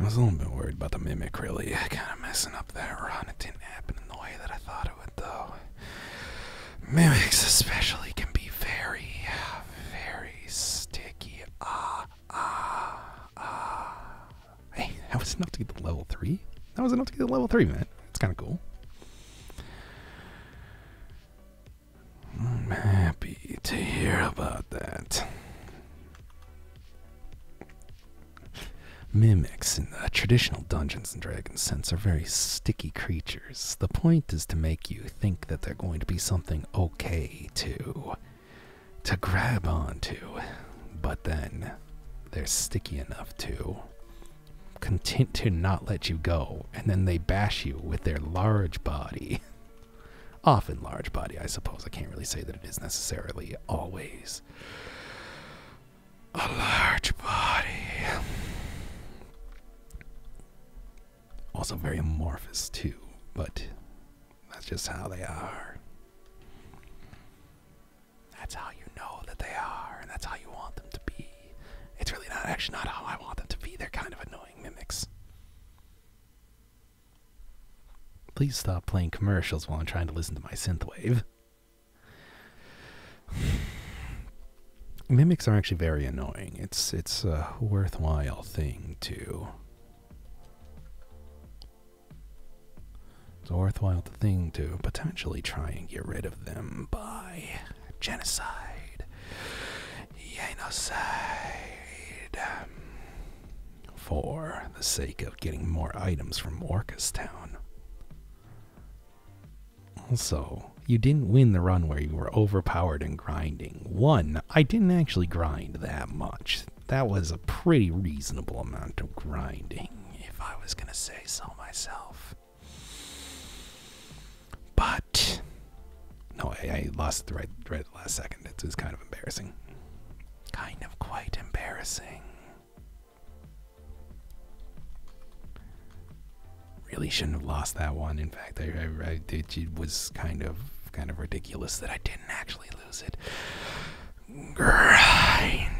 I was a little bit worried about the mimic really kind of messing up that run. It didn't happen in the way that I thought it would, though. Mimics, especially, can be very, very sticky. Ah, ah, ah. Hey, that was enough to get the level 3. That was enough to get the level 3, man. It's kind of cool. I'm happy to hear about that. Mimics in the traditional Dungeons and Dragons sense are very sticky creatures. The point is to make you think that they're going to be something okay to to grab onto, but then they're sticky enough to content to not let you go, and then they bash you with their large body. Often large body, I suppose. I can't really say that it is necessarily always a large body. Also very amorphous too, but that's just how they are. That's how you know that they are, and that's how you want them to be. It's really not actually not how I want them to be. They're kind of annoying mimics. Please stop playing commercials while I'm trying to listen to my synthwave. Mimics are actually very annoying. It's it's uh, worthwhile thing too. It's a worthwhile thing to potentially try and get rid of them by genocide, genocide, for the sake of getting more items from Orcas Also, you didn't win the run where you were overpowered and grinding. One, I didn't actually grind that much. That was a pretty reasonable amount of grinding, if I was gonna say so myself. But no, I, lost the right, right the last second. It was kind of embarrassing. Kind of quite embarrassing really shouldn't have lost that one. In fact, I, it, was kind of kind of ridiculous that I didn't actually lose it. Grinding,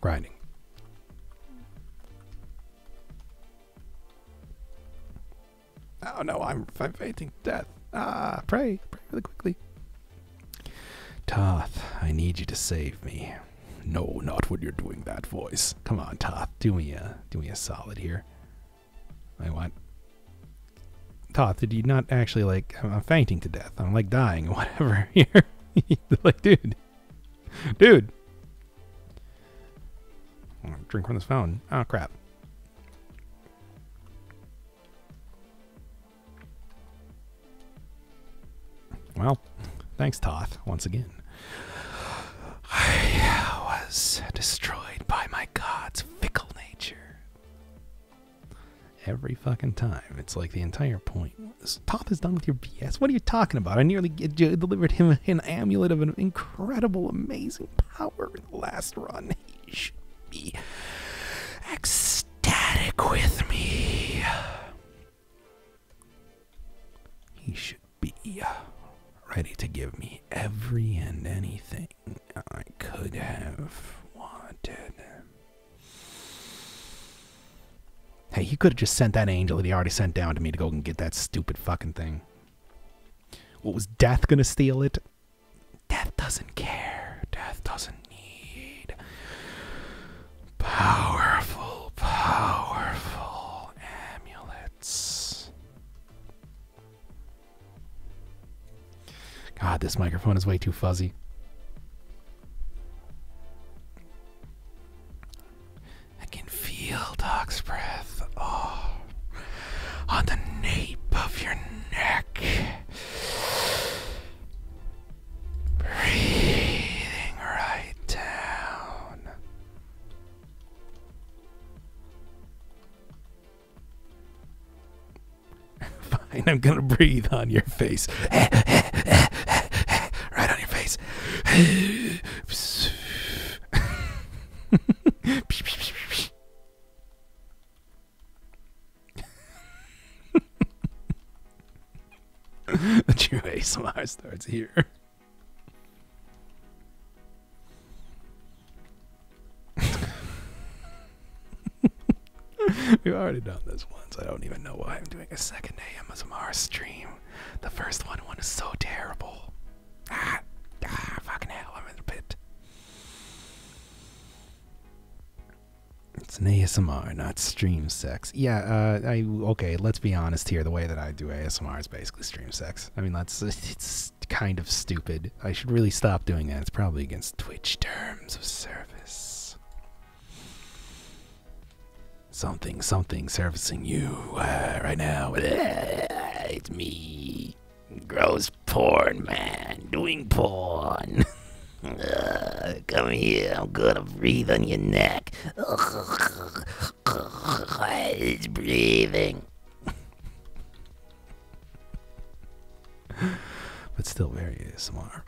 grinding. Oh no, I'm, I'm fainting death. Ah, pray, pray really quickly. Toth, I need you to save me. No, not when you're doing that voice. Come on, Toth, do me a do me a solid here. I want Toth, did you not actually like I'm fainting to death. I'm like dying or whatever here. like, dude. Dude. Oh, drink from this phone. Oh crap. Well, thanks, Toth, once again. I was destroyed by my god's fickle nature. Every fucking time. It's like the entire point. Toth is done with your BS. What are you talking about? I nearly delivered him an amulet of an incredible, amazing power in the last run. He should be ecstatic with me. He should be ready to give me every and anything I could have wanted. Hey, he could have just sent that angel that he already sent down to me to go and get that stupid fucking thing. What was Death gonna steal it? Death doesn't care. Death doesn't need Powerful, powerful amulets. God, this microphone is way too fuzzy. I can feel Doc's breath oh, on the nape of your neck. Breathing right down. Fine, I'm gonna breathe on your face. right on your face. the true ASMR starts here. We've already done this once. I don't even know why I'm doing a second ASMR stream. The first one was so terrible. Ah, ah, fucking hell! I'm in the pit. It's an ASMR, not stream sex. Yeah. Uh, okay. Let's be honest here. The way that I do ASMR Mars basically stream sex. I mean, that's it's kind of stupid. I should really stop doing that. It's probably against Twitch terms of service. Something, something servicing you uh, right now. It's me, gross porn man, doing porn. come here, I'm gonna breathe on your neck. He's breathing. but still very ASMR.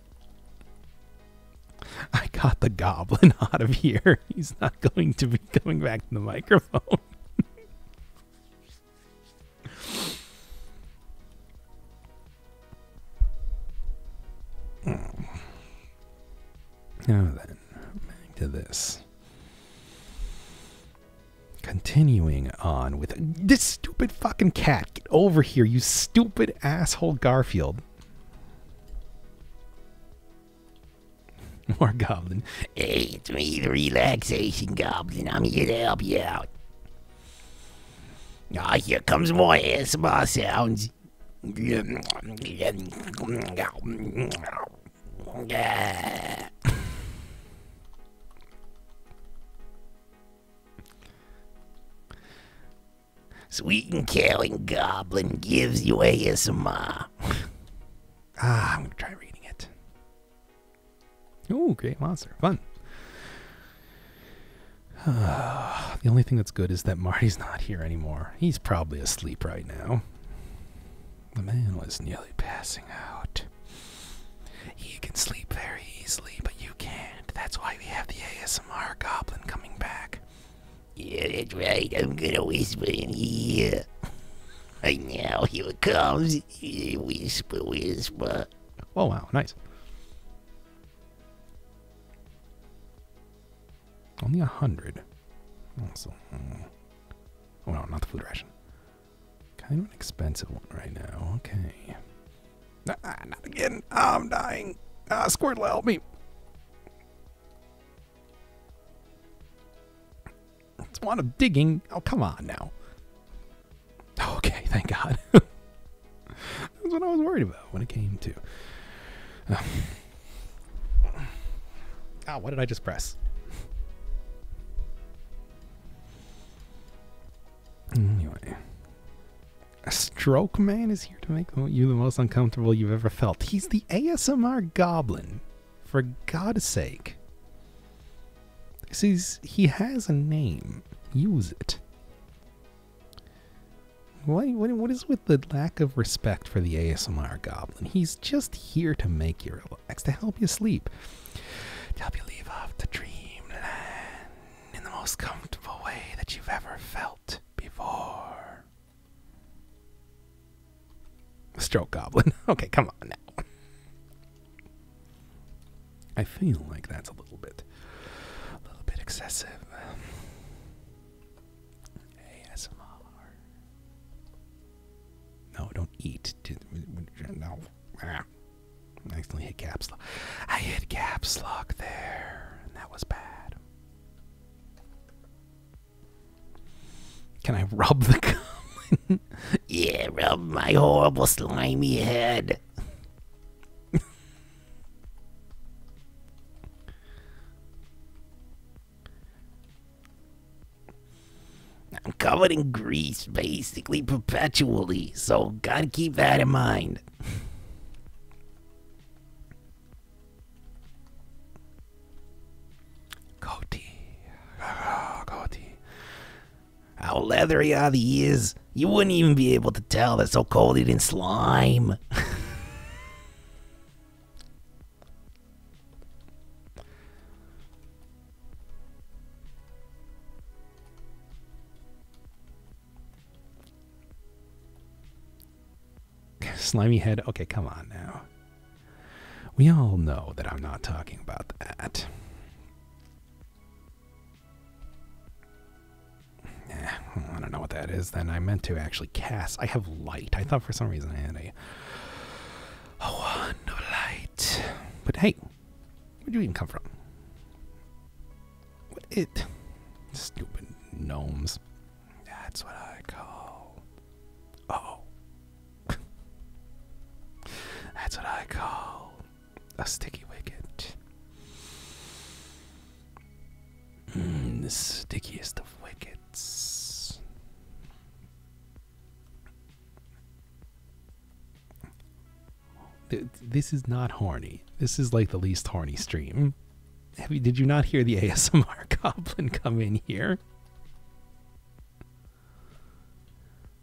I got the goblin out of here. He's not going to be coming back to the microphone. Hmm. Now then, back to this. Continuing on with this stupid fucking cat. Get over here, you stupid asshole Garfield. More goblin. Hey, it's me, the relaxation goblin. I'm here to help you out. Ah, here comes more ASMR sounds. Sweet and killing goblin gives you ASMR. ah, I'm gonna try reading it. Oh, great monster. Fun. the only thing that's good is that Marty's not here anymore. He's probably asleep right now. The man was nearly passing out. He can sleep very easily, but you can't. That's why we have the ASMR goblin coming back. Yeah, that's right. I'm gonna whisper in here. Right now, here it comes. Whisper, whisper. Oh, wow. Nice. Only a hundred. Also, oh hmm. no, not the food ration. Kind of an expensive one right now. Okay. Ah, not again. Ah, I'm dying. Ah, Squirtle, help me. It's one of digging. Oh, come on now. Okay, thank God. That's what I was worried about when it came to. Ah, oh. oh, what did I just press? Anyway. A stroke man is here to make you the most uncomfortable you've ever felt. He's the ASMR goblin. For God's sake. This is, he has a name. Use it what is with the lack of respect for the ASMR goblin? He's just here to make you relax, to help you sleep, to help you leave off the dreamland in the most comfortable way that you've ever felt before. Stroke goblin. Okay, come on now. I feel like that's a little bit a little bit excessive. Um, ASMR. No, don't eat. No. Ah. I accidentally hit caps lock. I hit caps lock there, and that was bad. Can I rub the gum? yeah, rub my horrible slimy head. I'm covered in grease basically perpetually, so gotta keep that in mind. Goatee. Goatee. How leathery are the ears? You wouldn't even be able to tell. That's so cold didn't slime. Slimy head. Okay, come on now. We all know that I'm not talking about that. I don't know what that is then. I meant to actually cast. I have light. I thought for some reason I had a. Oh, no light. But hey, where'd you even come from? What it? Stupid gnomes. That's what I call. oh. That's what I call a sticky wicket. Mm, the stickiest of wickets. This is not horny. This is like the least horny stream. did you not hear the ASMR goblin come in here?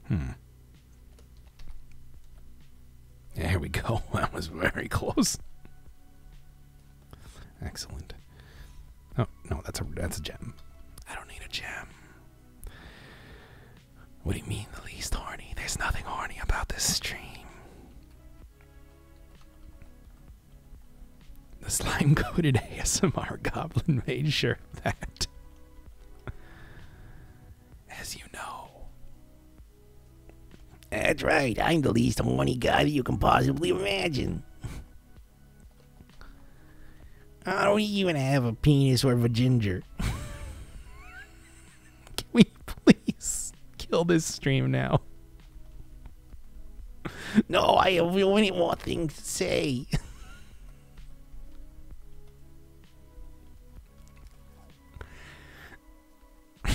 Hmm. There we go. That was very close. Excellent. Oh no, that's a that's a gem. I don't need a gem. What do you mean the least horny? There's nothing horny about this stream. The slime coated ASMR goblin made sure of that. As you know, that's right, I'm the least horny guy that you can possibly imagine. I don't even have a penis or a ginger. can we please kill this stream now? No, I have only one things to say.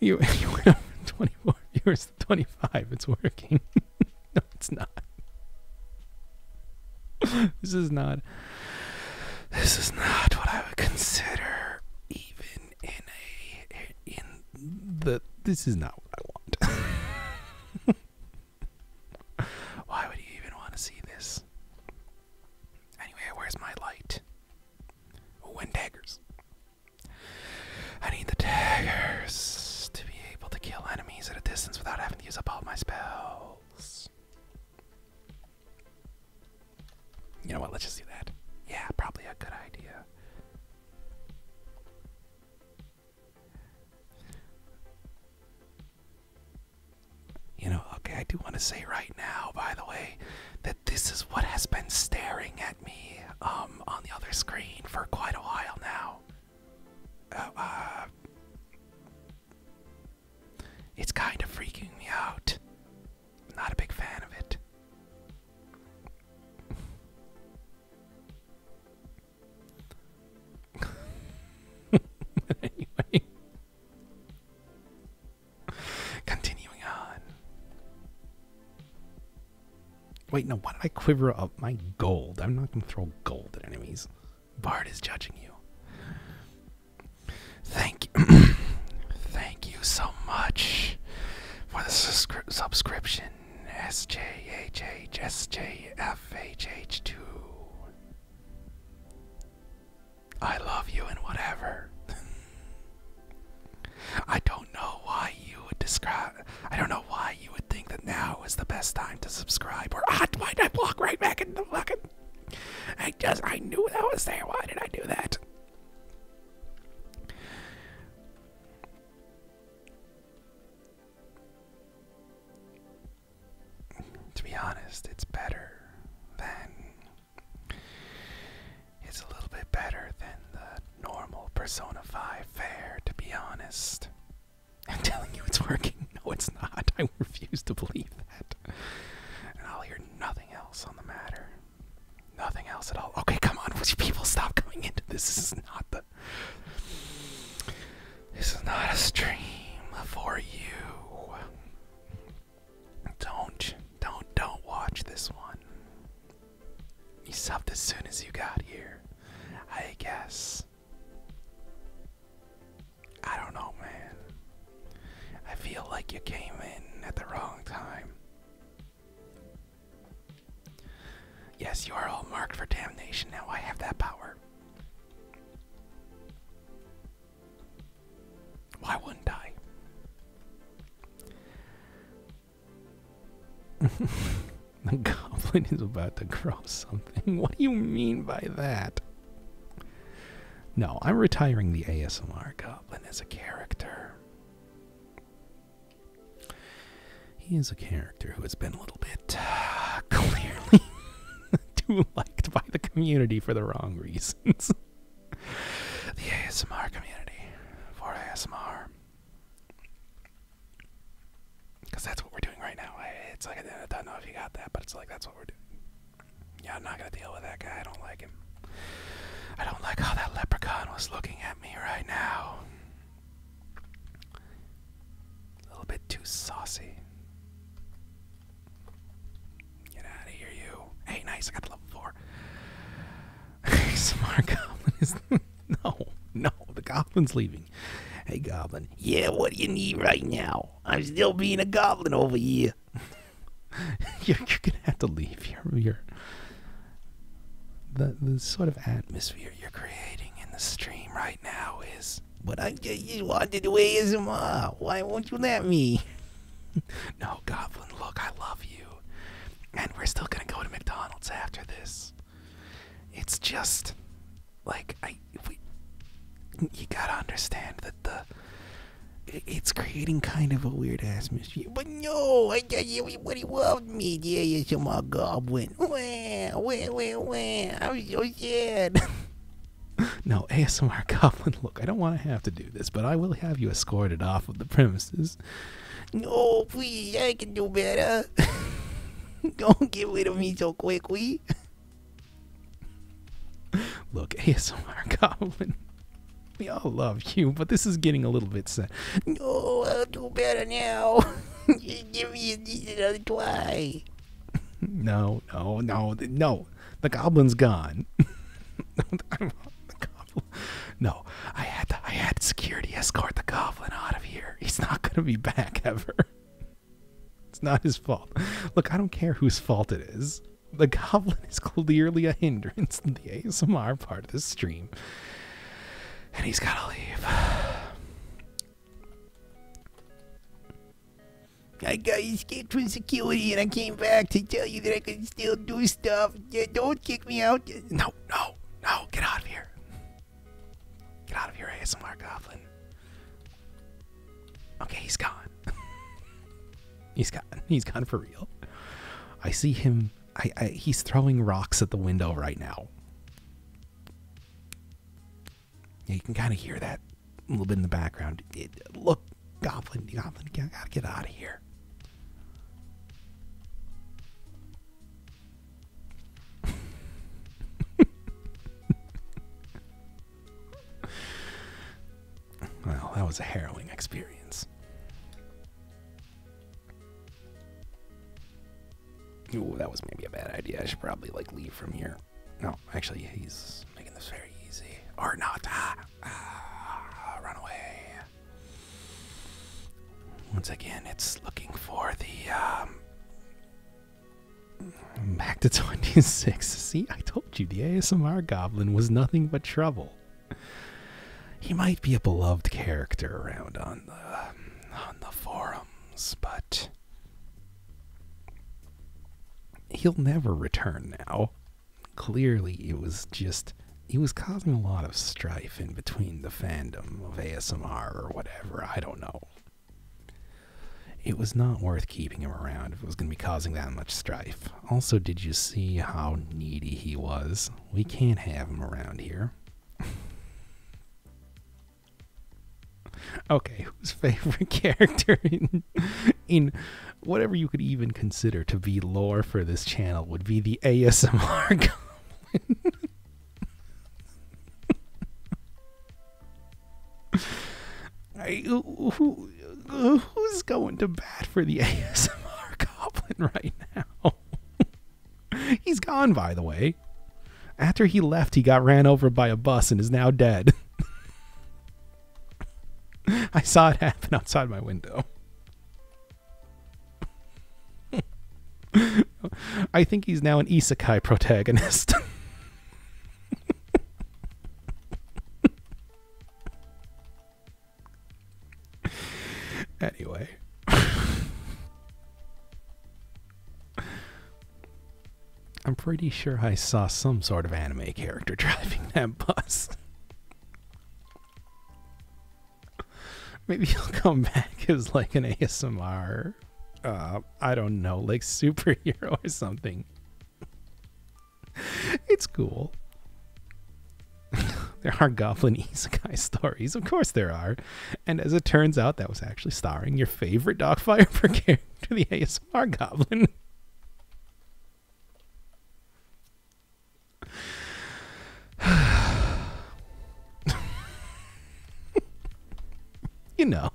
you, you went up 24 You to 25. It's working. no, it's not. this is not. This is not what I would consider even in a in the. This is not what I want. Why would you even want to see this? Anyway, where's my light? Oh, daggers. I need the daggers to be able to kill enemies at a distance without having to use up all my spells. You know what? Let's just do that. Yeah, probably a good idea. You know, okay, I do want to say right now, by the way, that this is what has been staring at me um, on the other screen for quite a while now. Uh, uh, it's kind of freaking me out. I'm not a big fan of it anyway. Continuing on. Wait, no, why did I quiver up my gold? I'm not going to throw gold at enemies. Bard is judging you. Thank you. Thank you so much for the subscription. SJHH SJFHH2. I love you and whatever. I don't know why you would describe. I don't know why you would think that now is the best time to subscribe. Or ah, why did I block right back in the fucking? I just I knew that was there. Why did I do that? to be honest, it's better than. It's a little bit better than the normal Persona 5 fare, to be honest. I'm telling you it's working. No, it's not. I refuse to believe that. And I'll hear nothing else on the matter. Nothing else at all. Okay, come on, would you people stop coming into this? This is not the. This is not a stream for you. Don't, don't, don't watch this one. You stopped as soon as you got here, I guess. I don't know, man. I feel like you came in at the wrong time. Yes, you are all marked for damnation now. I have that power. Why wouldn't I? the goblin is about to grow something. What do you mean by that? No, I'm retiring the ASMR goblin as a character. He is a character who has been a little bit clearly too liked by the community for the wrong reasons. the ASMR community for ASMR. Because that's what we're doing right now. It's like, I don't know if you got that, but it's like, that's what we're doing. Yeah, I'm not going to deal with that guy. I don't like him. I don't like how that leprechaun was looking at me right now. A little bit too saucy. Get out of here, you. Hey, nice, I got the level four. Smart Goblin is. no, no, the Goblin's leaving. Hey, Goblin. Yeah, what do you need right now? I'm still being a Goblin over here. you're, gonna have to leave. you the the sort of atmosphere you're creating in the stream right now is but I just wanted away ASMR. Why won't you let me? no, Goblin, look, I love you. And we're still gonna go to McDonald's after this. It's just like I we you gotta understand that the it's creating kind of a weird ass mystery. But no, I tell you, everybody loved me. Yeah, yeah, some goblin. Wah, wah, wah, wah. I'm so sad. no, ASMR Goblin, look, I don't want to have to do this, but I will have you escorted off of the premises. No, please, I can do better. don't get rid of me so quickly. Look, ASMR Goblin, we all love you, but this is getting a little bit sad. No, I'll do better now. give me another try. No, no, no, no. The goblin's gone. No, I had to, I had security escort the goblin out of here. He's not gonna be back ever. It's not his fault. Look, I don't care whose fault it is. The goblin is clearly a hindrance in the ASMR part of the stream. And he's gotta leave. I got escaped from security and I came back to tell you that I can still do stuff. Yeah, don't kick me out. No, no, no. Get out of here. Get out of here, ASMR Goblin. Okay, he's gone. he's gone. He's gone for real. I see him. he's throwing rocks at the window right now. Yeah, you can kind of hear that a little bit in the background. look, Goblin, Goblin, I gotta get out of here. well, that was a harrowing experience. Ooh, that was maybe a bad idea. I should probably like leave from here here. No, actually, he's making this very easy. Or not. Ah, ah Once again, it's looking for the. back um, to 26. See, I told you the ASMR Goblin was nothing but trouble. He might be a beloved character around on the on the forums, but he'll never return now clearly it was just he was causing a lot of strife in between the fandom of ASMR or whatever. I don't know. It was not worth keeping him around if it was going to be causing that much strife. Also, did you see how needy he was? We can't have him around here. okay, whose favorite character in whatever you could even consider to be lore for this channel would be the ASMR I, who, who's going to bat for the ASMR goblin right now? He's gone, by the way. After he left, he got ran over by a bus and is now dead. I saw it happen outside my window. I think he's now an isekai protagonist. anyway. I'm pretty sure I saw some sort of anime character driving that bus. Maybe he'll come back as like an ASMR, uh, I don't know, like superhero or something. it's cool. there are goblin guy stories, of course there are. And as it turns out, that was actually starring your favorite Dogfire per character, the ASMR goblin. you know.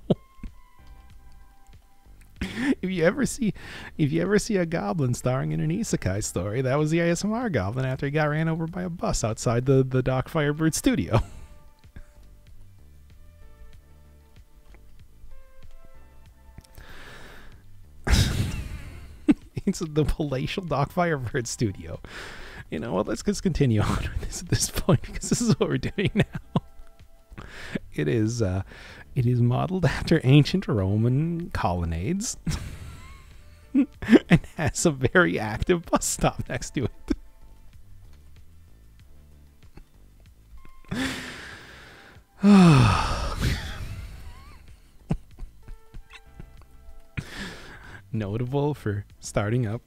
If you ever see if you ever see a goblin starring in an isekai story, that was the ASMR goblin after he got ran over by a bus outside the, the Doc Firebird studio. it's the palatial Dockfire Bird Studio. You know what? let's just continue on with this at this point because this is what we're doing now. It is uh, it is modeled after ancient Roman colonnades and has a very active bus stop next to it. Notable for starting up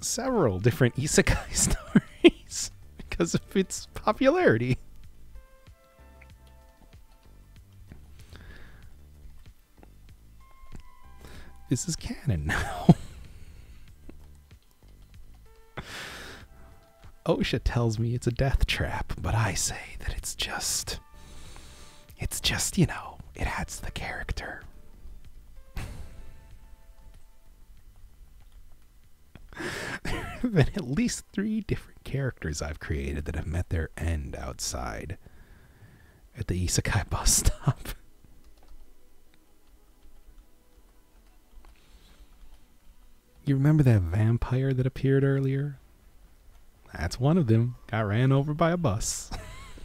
several different isekai stories because of its popularity. This is canon now. OSHA tells me it's a death trap, but I say that it's just. It's just, you know, it adds the character. there have been at least three different characters I've created that have met their end outside at the Isakai bus stop. You remember that vampire that appeared earlier? That's one of them. Got ran over by a bus.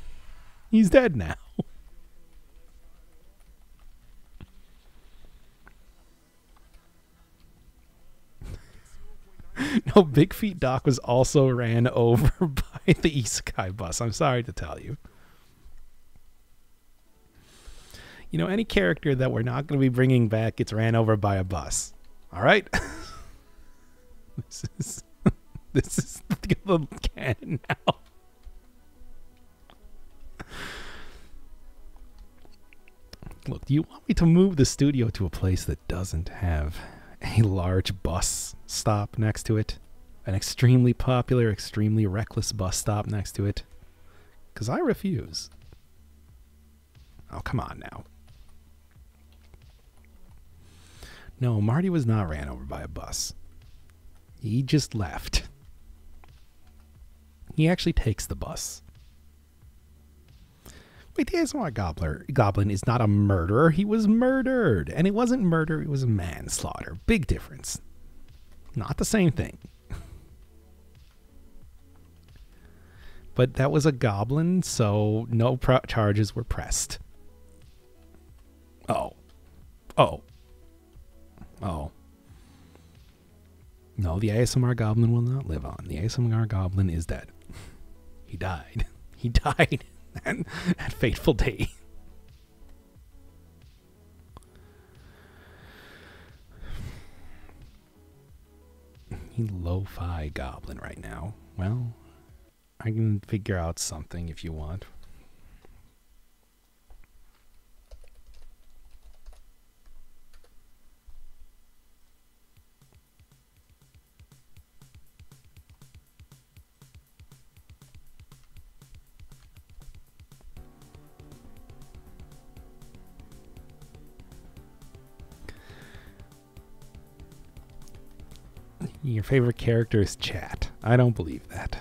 He's dead now. no, Big Feet Doc was also ran over by the Isekai bus. I'm sorry to tell you. You know, any character that we're not going to be bringing back gets ran over by a bus. All right? this is this is the canon now. Look, do you want me to move the studio to a place that doesn't have a large bus stop next to it? An extremely popular, extremely reckless bus stop next to it? Because I refuse. Oh, come on now. No, Marty was not ran over by a bus. He just left. He actually takes the bus. Wait, the Asimov Gobbler, Goblin is not a murderer. He was murdered. And it wasn't murder, it was manslaughter. Big difference. Not the same thing but that was a goblin, so no charges were pressed. Oh. Oh. Oh. No, the ASMR goblin will not live on. The ASMR goblin is dead. He died. He died that, that fateful day. He lo-fi goblin right now. Well, I can figure out something if you want. Your favorite character is Chat. I don't believe that.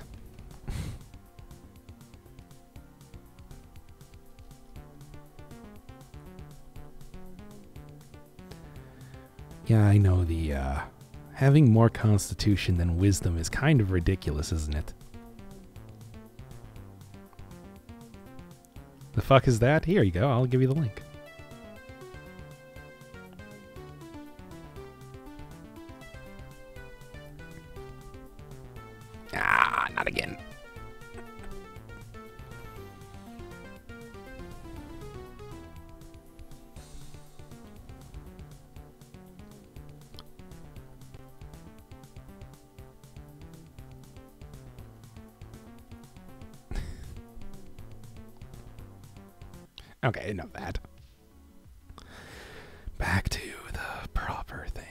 yeah, I know the uh, having more constitution than wisdom is kind of ridiculous, isn't it? The fuck is that? Here you go, I'll give you the link. Ah, not again. okay, enough that. Back to the proper thing.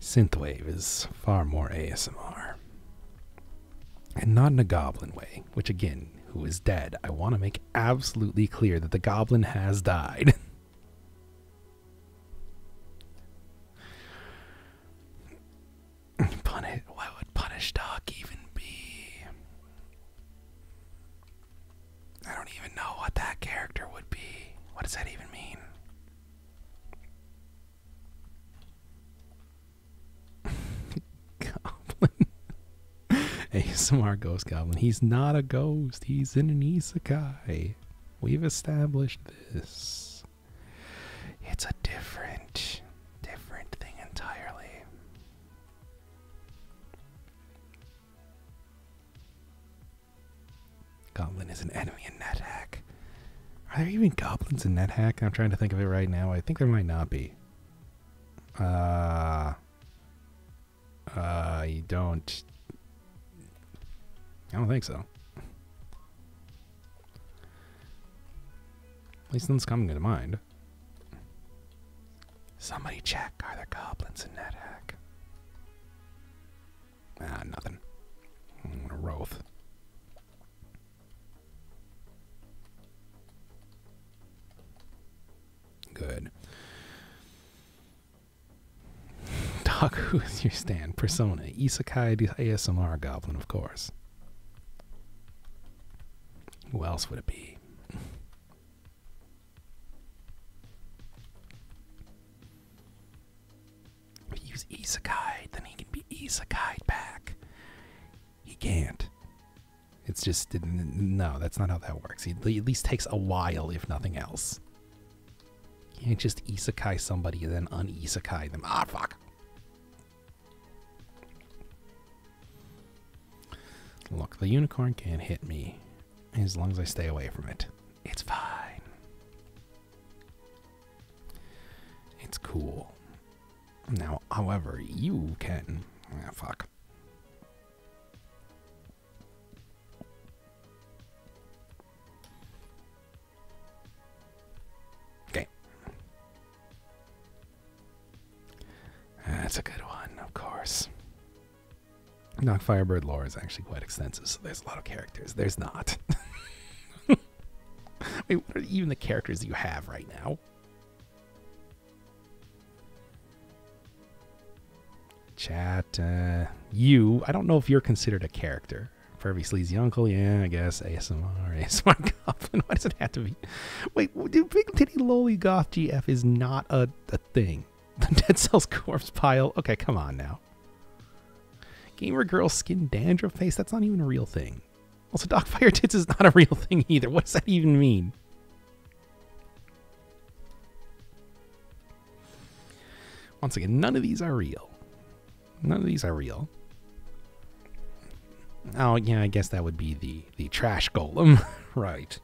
Synthwave is far more ASMR. And not in a goblin way, which again who is dead. I want to make absolutely clear that the goblin has died. Punish, why would Punish Doc even be? I don't even know what that character would be. What does that even mean? Goblin. a smart Ghost Goblin. He's not a ghost. He's in an isekai. We've established this. It's a different, different thing entirely. Goblin is an enemy in NetHack. Are there even goblins in NetHack? I'm trying to think of it right now. I think there might not be. Uh, uh, don't. I don't think so. At least nothing's coming to mind. Somebody check. Are there goblins in NetHack? Ah, nothing. i mm, roth. Good. Doc, who is your stand? Persona. Isekai ASMR Goblin, of course. Who else would it be? If he was then he can be isekai back. He can't. It's just, no, that's not how that works. It at least takes a while, if nothing else. can't just isekai somebody and then un-isekai them. Ah, fuck. Look, the unicorn can't hit me as long as I stay away from it. It's fine. It's cool. Now, however, you can. Ah, fuck. Okay. That's a good one, of course. Knock Firebird lore is actually quite extensive, so there's a lot of characters. There's not. Wait, what are even the characters you have right now? Chat, uh, you, I don't know if you're considered a character. Pervy Sleazy Uncle, yeah, I guess. ASMR, ASMR Goblin. Why does it have to be? Wait, dude, Big Titty Lolly Goth GF is not a, thing. Dead Cells Corpse Pile. Okay, come on now. Gamer Girl Skin Dandruff Face, that's not even a real thing. Also, Doc Fire Tits is not a real thing either. What does that even mean? Once again, none of these are real. None of these are real. Oh, yeah, I guess that would be the, the trash golem. right.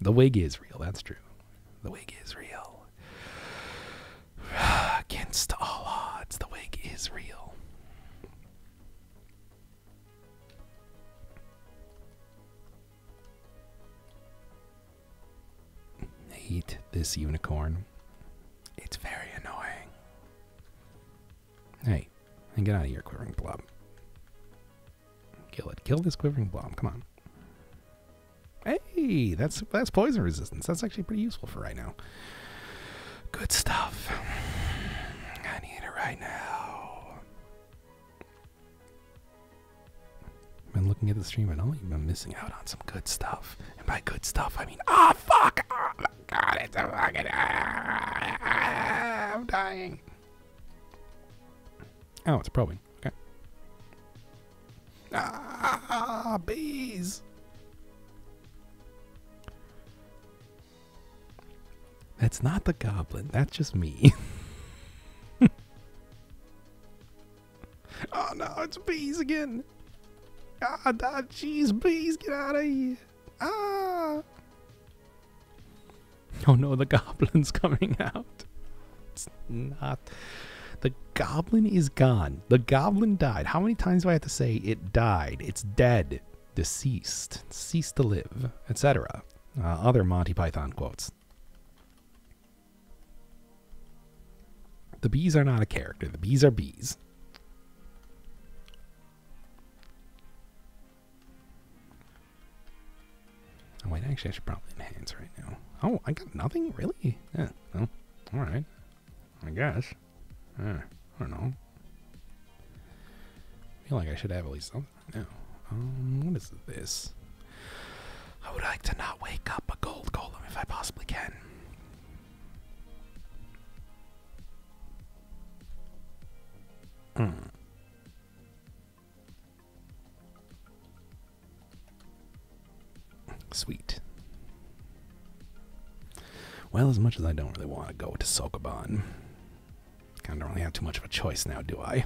The wig is real, that's true. The wig is real. Against all odds, the wig is real. Hate this unicorn. It's very annoying. Hey, and get out of here, quivering blob. Kill it. Kill this quivering blob. Come on. Hey, that's that's poison resistance. That's actually pretty useful for right now. Good stuff. I need it right now. I've been looking at the stream and i you've been missing out on some good stuff. And by good stuff, I mean, ah, oh, fuck! Oh my god, it's a fucking. Ah, I'm dying. Oh, it's probing. Okay. Ah, bees! That's not the goblin. That's just me. oh no, it's bees again. Ah, oh, jeez, bees, get out of here. Ah. Oh no, the goblin's coming out. It's not. The goblin is gone. The goblin died. How many times do I have to say it died? It's dead deceased, cease to live, etc. Uh, other Monty Python quotes. The bees are not a character, the bees are bees. Oh, wait, actually, I should probably enhance right now. Oh, I got nothing? Really? Yeah, well, alright. I guess. Eh, I don't know. I feel like I should have at least something. No. Um, what is this? I would like to not wake up a gold golem if I possibly can. Hmm. Sweet. Well, as much as I don't really want to go to Sokoban, I don't really have too much of a choice now, do I?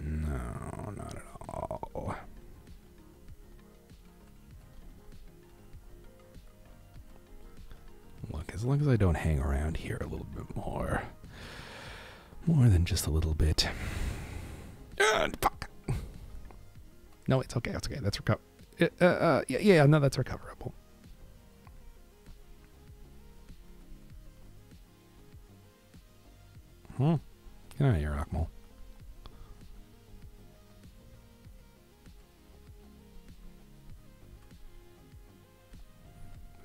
No, not at all. Look, as long as I don't hang around here a little bit more, more than just a little bit. fuck. No, it's okay. It's okay. That's recover. Uh, uh, uh, yeah, no, that's recoverable. Hmm. Get out of here, Akmal.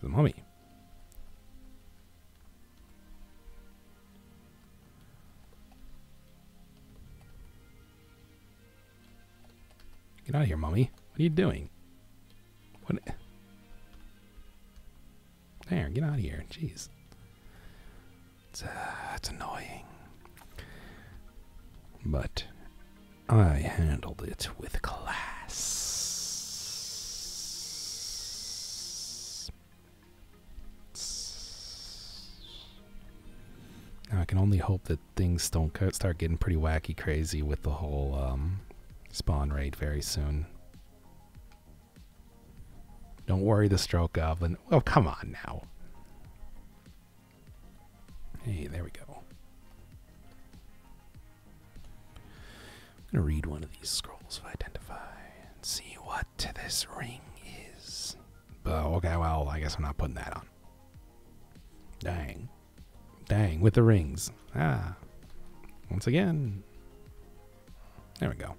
The mummy. Get out of here, mummy. What are you doing? What? There, get out of here. Jeez. Uh, it's, annoying. But I handled it with class. I can only hope that things don't start getting pretty wacky crazy with the whole um, spawn rate very soon. Don't worry the stroke of goblin. Oh, come on now. Hey, there we go. I'm gonna read one of these scrolls of identify and see what this ring is. But okay, well, I guess I'm not putting that on. Dang. Dang, with the rings. Ah. Once again. There we go.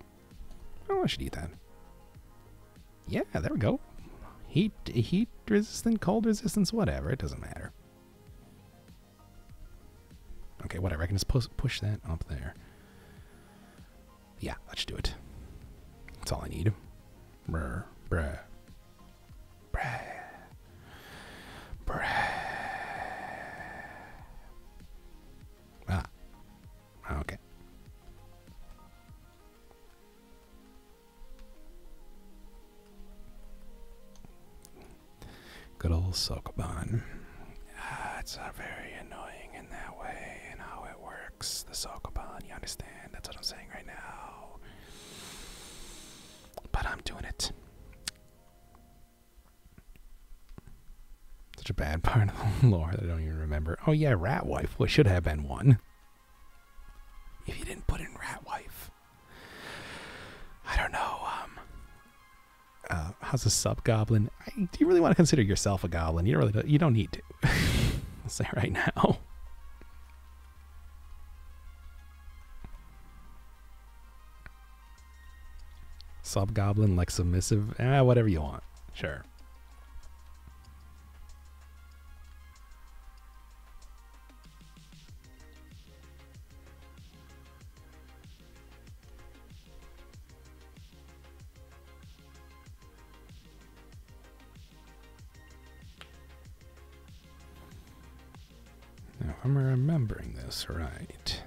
Oh, I should eat that. Yeah, there we go. Heat, heat resistant, cold resistance, whatever. It doesn't matter. Okay, whatever. I can just post, push that up there. Yeah, let's do it. That's all I need. Brr, bruh. Bruh. Bruh. Ah. Okay. Good old Sokoban. Ah, it's not very annoying in that way and how it works. The Sokoban, you understand? That's what I'm saying right now. But I'm doing it. Such a bad part of the lore I don't even remember. Oh yeah, Rat Wife. What should have been one. If you didn't put in Rat Wife. I don't know, um uh, how's a sub goblin? Do you really want to consider yourself a goblin? You don't really. You don't need to. say right now. Sub goblin, like submissive, eh, whatever you want. Sure. Now, I'm remembering this right.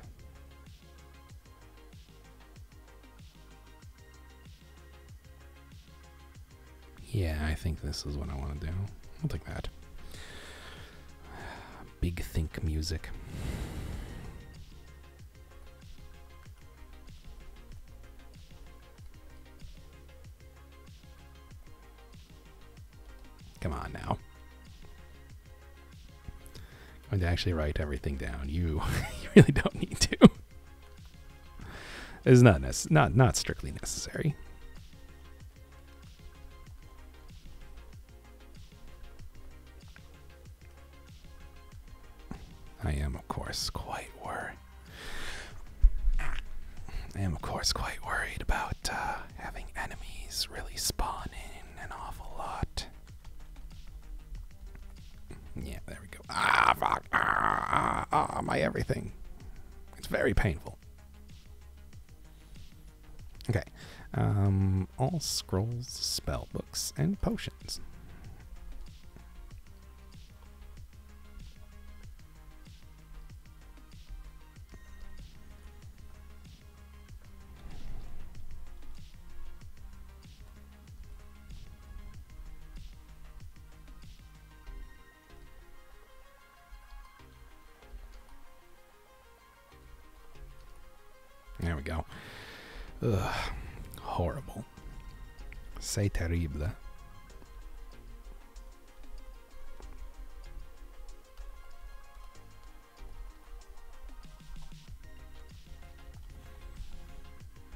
Yeah, I think this is what I want to do. I'll take that. Big Think music. Come on now. I'm going to actually write everything down. You, you really don't need to. It's not not not strictly necessary. I am, of course, quite worried. I am, of course, quite worried about uh, having enemies really spawning an awful lot. Yeah, there we go. Ah, fuck! Ah, ah, ah, my everything. It's very painful. Okay. Um, all scrolls, spell books, and potions. There we go. Ugh, horrible. C'est terrible.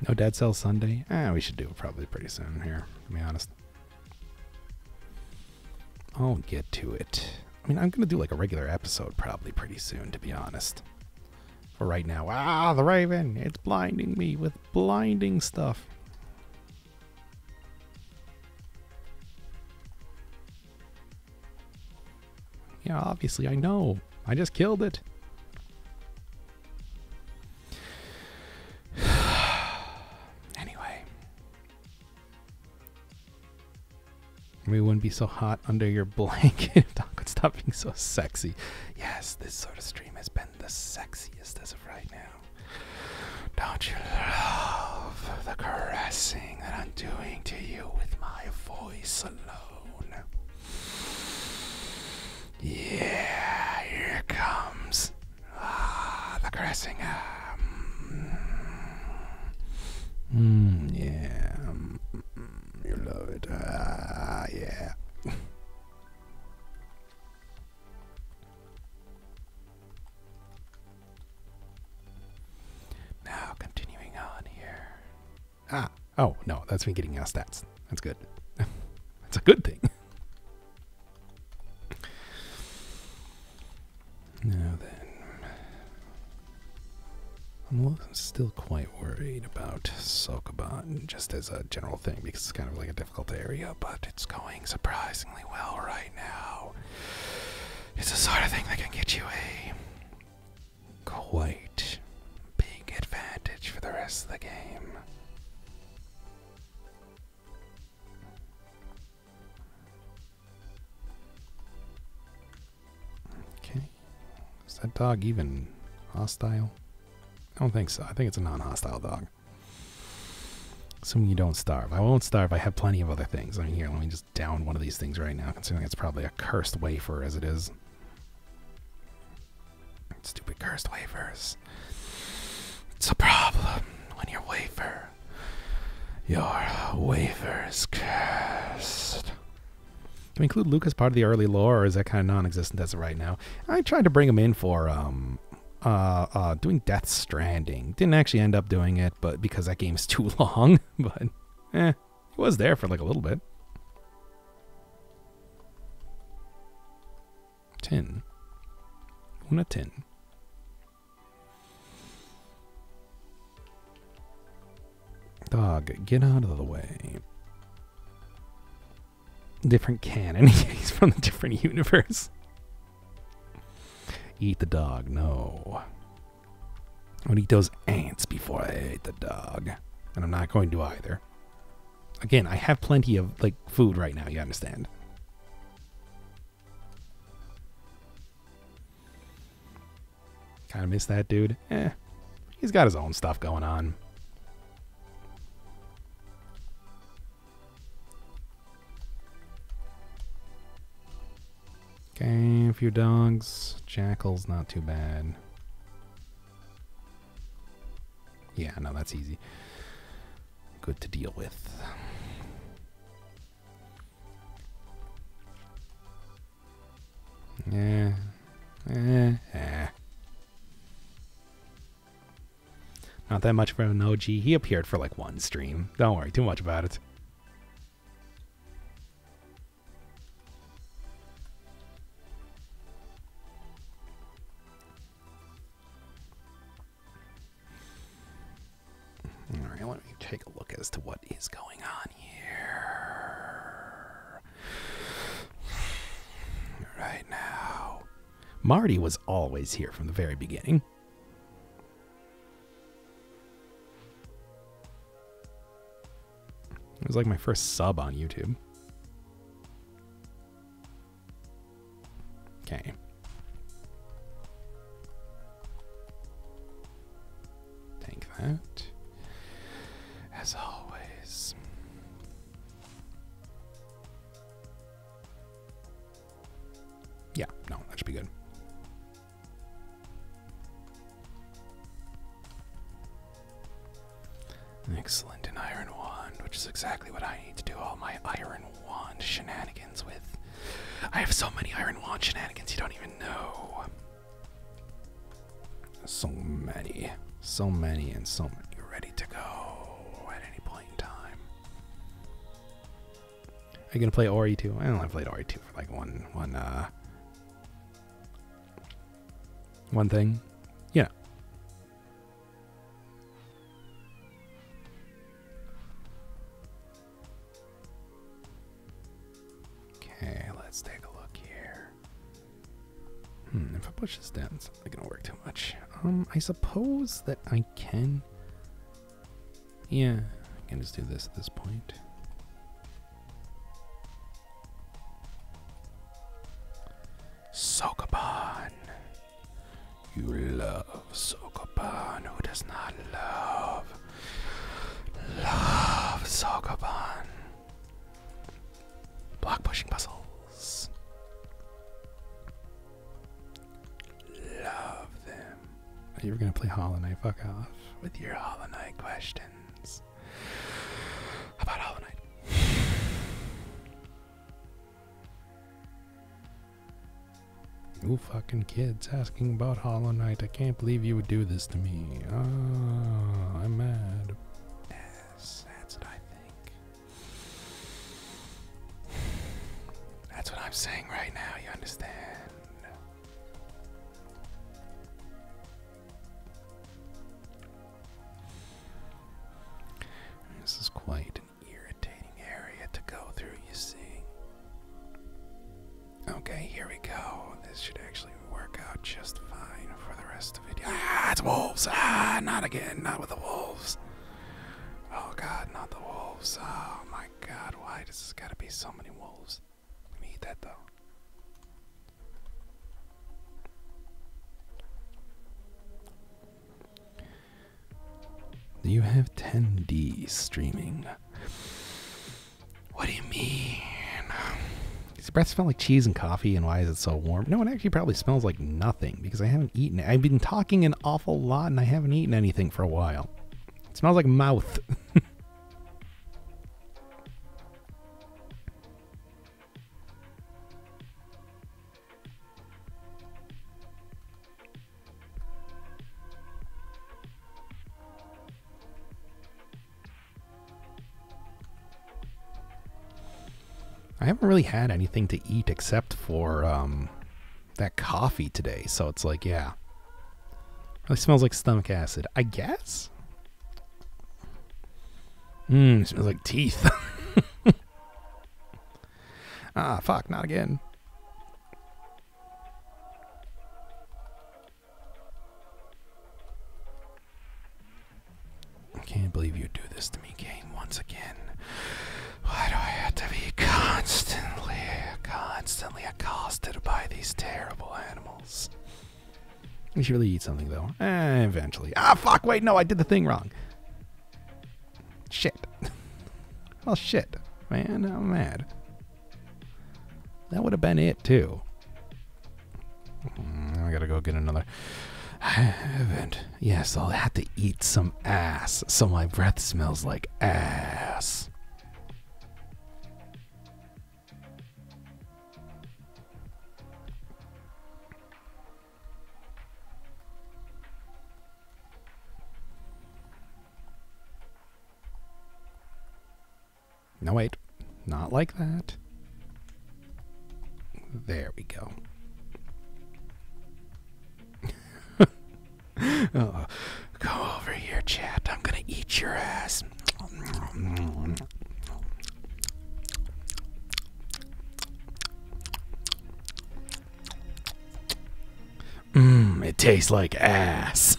No Dead Cell Sunday? Ah, we should do it probably pretty soon here, to be honest. I'll get to it. I mean, I'm going to do like a regular episode probably pretty soon, to be honest. But right now, ah, the raven, it's blinding me with blinding stuff. Yeah, obviously, I know. I just killed it. anyway. We wouldn't be so hot under your blanket if Doc stop being so sexy. Yes, this sort of stream has been the sexiest as of right now. Don't you love the caressing that I'm doing to you with my voice alone? Yeah, here it comes. Ah, the caressing. Ah, yeah. Um, Mm, you love it. Ah, yeah. now, continuing on here. Ah, oh no, that's me getting our stats. That's good. that's a good thing. Now then, I'm still quite worried about Sokoban, just as a general thing, because it's kind of like a difficult area, but it's going surprisingly well right now. It's the sort of thing that can get you a quite big advantage for the rest of the game. Okay. Is that dog even hostile? I don't think so. I think it's a non-hostile dog. Assuming you don't starve. I won't starve. I have plenty of other things. I mean, here, let me just down one of these things right now, considering it's probably a cursed wafer as it is. Stupid cursed wafers. It's a problem when your wafer, your wafer is cursed. Can we include Lucas part of the early lore, or is that kind of non-existent as of right now? I tried to bring him in for um, uh, uh, doing Death Stranding. Didn't actually end up doing it, but because that game's too long. but eh, it was there for like a little bit. Tin. Una tin. Dog, get out of the way. Different canon. He's from a different universe. Eat the dog. No. I would eat those ants before I eat the dog. And I'm not going to either. Again, I have plenty of like food right now, you understand. Kind of miss that dude. Eh. He's got his own stuff going on. Okay, a few dogs. Jackal's not too bad. Yeah, no, that's easy. Good to deal with. Yeah. Eh, eh. Not that much for an OG. He appeared for like one stream. Don't worry too much about it. All right, let me take a look as to what is going on right now. Marty was always here from the very beginning. It was like my first sub on YouTube. Okay. Take that. As always. Yeah, no, that should be good. Excellent, an iron wand, which is exactly what I need to do all my iron wand shenanigans with. I have so many iron wand shenanigans you don't even know. So many, so many, and so You're ready to go at any point in time. Are you gonna play Ori too? I only played Ori 2 for like one, one, uh, one thing. Yeah. Okay, let's take a look here. Hmm, if I push this down, it's not gonna work too much. Um, I suppose that I can. Yeah, I can just do this at this point. Sokoban! You love Sokoban. Who does not love? Love Sokoban. Block pushing puzzles. Love them. You were gonna play Hollow Knight. Fuck off with your Hollow Knight questions. How about Hollow Knight? Ooh, fucking kids asking about Hollow Knight. I can't believe you would do this to me. Ah, I'm mad. that's what I think. That's what I'm saying right now, you understand? This is quite an irritating area to go through, you see. Okay, here we go. This should actually work out just fine for the rest of the video. Ah, it's wolves! Ah, not again, not with the wolves. Oh god, not the wolves. Oh my god, why does this gotta be so many wolves? Let me eat that though. You have 10D streaming. What do you mean? Does your breath smell like cheese and coffee, and why is it so warm? No, it actually probably smells like nothing because I haven't eaten I've been talking an awful lot, and I haven't eaten anything for a while. It smells like mouth. I haven't really had anything to eat except for um, that coffee today, so it's like, yeah. Really smells like stomach acid, I guess? Mmm, smells like teeth. ah, fuck, not again. I can't believe you do this to me, game, once again. Why do I have to be constantly, constantly accosted by these terrible animals? You should really eat something, though. Eh, eventually. Ah, fuck, wait, no, I did the thing wrong. Shit. Oh, shit, man, I'm mad. That would have been it, too. Mm, I gotta go get another. I haven't. Yes, I'll have to eat some ass so my breath smells like ass. No, wait. Not like that. There we go. oh, go over here, chat. I'm going to eat your ass. Mmm, it tastes like ass.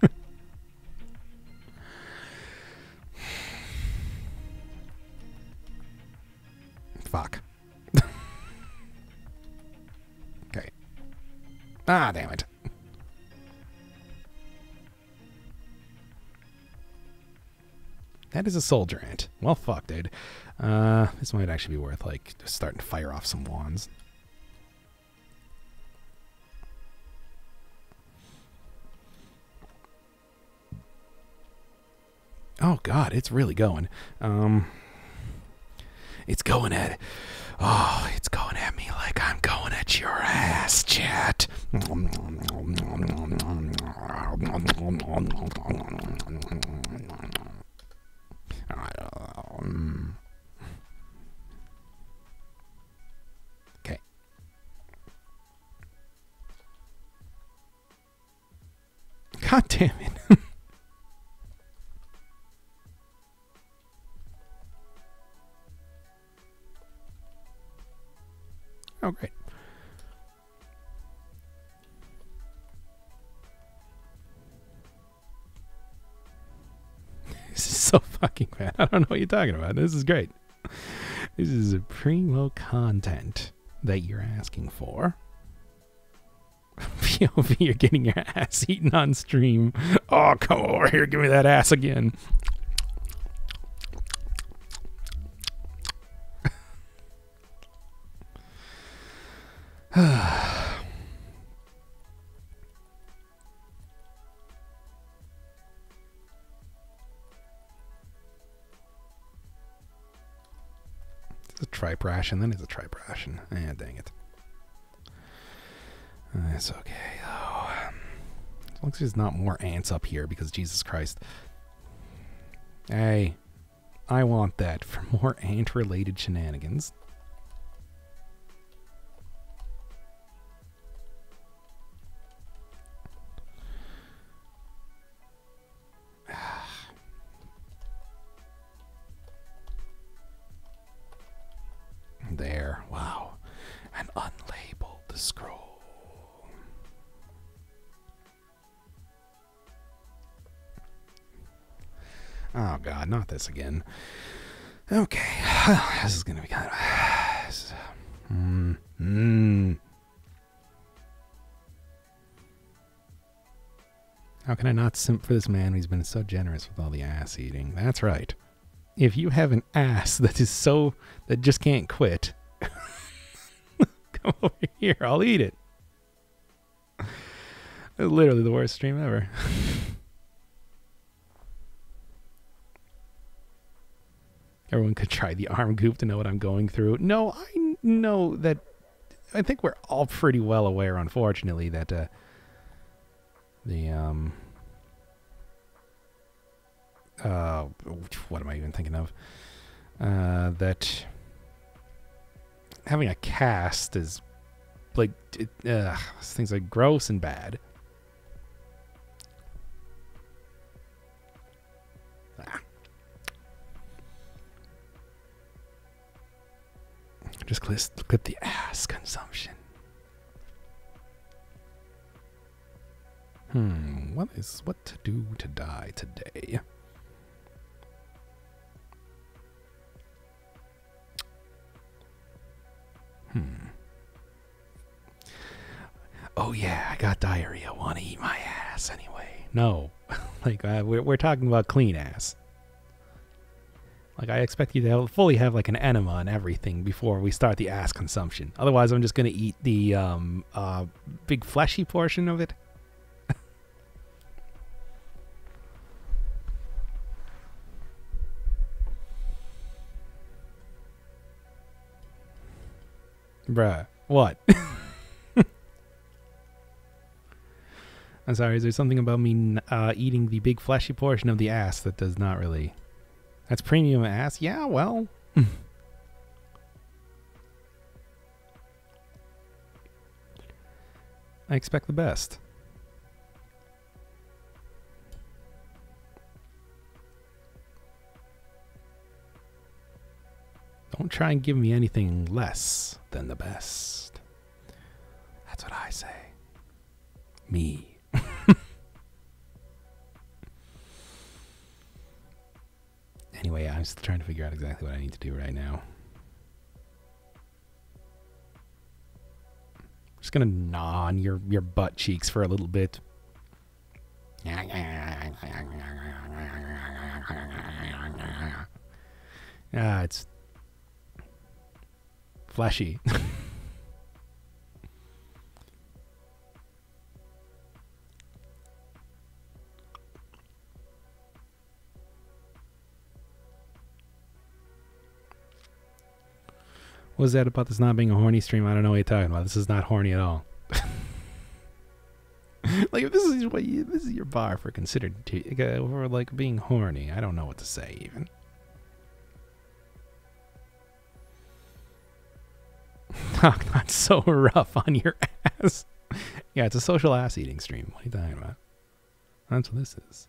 Fuck. okay. Ah, damn it. That is a soldier ant. Well, fuck, dude. Uh, this might actually be worth, like, just starting to fire off some wands. Oh God, it's really going. Um, it's going at Oh, it's going at me like I'm going at your ass, chat. Okay. God damn it. oh, great. this is so fucking bad. I don't know what you're talking about. This is great. This is a primo content that you're asking for. POV, you're getting your ass eaten on stream. Oh, come over here, give me that ass again. It's a tripe ration, then it's a tripe ration. Eh, dang it. Uh, it's okay, though. As long there's not more ants up here, because Jesus Christ. Hey, I want that for more ant-related shenanigans. there, wow. An unlabeled scroll. Oh god, not this again. Okay, this is gonna be kind of. Mm, mm, How can I not simp for this man he has been so generous with all the ass eating? That's right. If you have an ass that is so that just can't quit, come over here. I'll eat it. Literally the worst stream ever. Everyone could try the arm goop to know what I'm going through. No, I know that. I think we're all pretty well aware, unfortunately, that uh, the um, uh, what am I even thinking of? Uh, that having a cast is like uh, things like gross and bad. Ah. Just clip, clip the ass consumption. Hmm, what is what to do to die today? Hmm oh yeah, I got diarrhea. Want to eat my ass anyway? No, like uh, we're talking about clean ass. Like I expect you to fully have like an enema and everything before we start the ass consumption. Otherwise, I'm just gonna eat the um uh, big fleshy portion of it. Bruh, what? I'm sorry, is there something about me uh, eating the big fleshy portion of the ass that does not really. That's premium ass? Yeah, well. I expect the best. Don't try and give me anything less than the best. That's what I say. Me. anyway, I'm still trying to figure out exactly what I need to do right now. just gonna gnaw on your, your butt cheeks for a little bit. Yeah, it's flashy. What is that about this not being a horny stream? I don't know what you're talking about. This is not horny at all. like this is what this is your bar for considered for like being horny, I don't know what to say even. not so rough on your ass. yeah, it's a social ass eating stream. What are you talking about? That's what this is.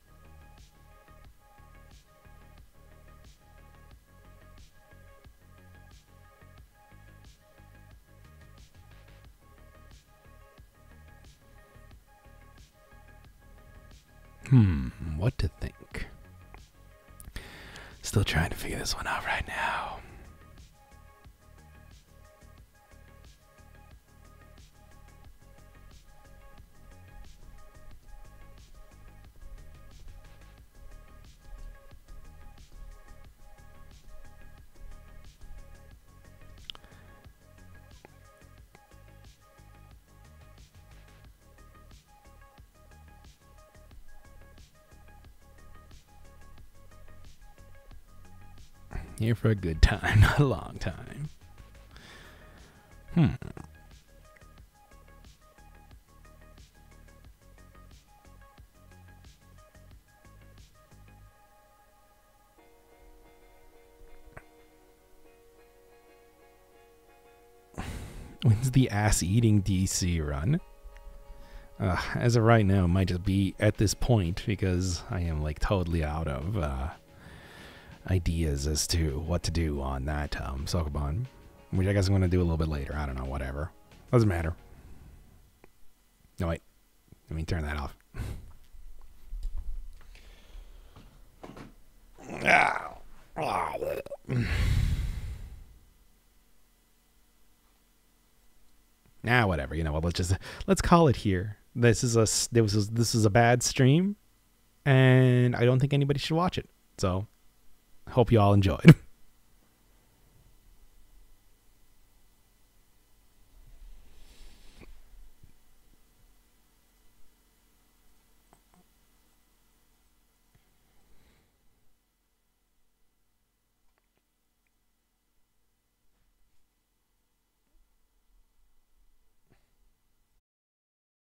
Hmm, what to think? Still trying to figure this one out right now. Here for a good time, a long time. Hmm. When's the ass eating DC run? Uh, as of right now, might just be at this point because I am like totally out of uh, ideas as to what to do on that um, Sokoban which I guess I'm going to do a little bit later. I don't know, whatever. Doesn't matter. No, wait. Let me turn that off. Now, whatever. You know what? Let's just let's call it here. This is a this is this is a bad stream and I don't think anybody should watch it. So, hope you all enjoyed.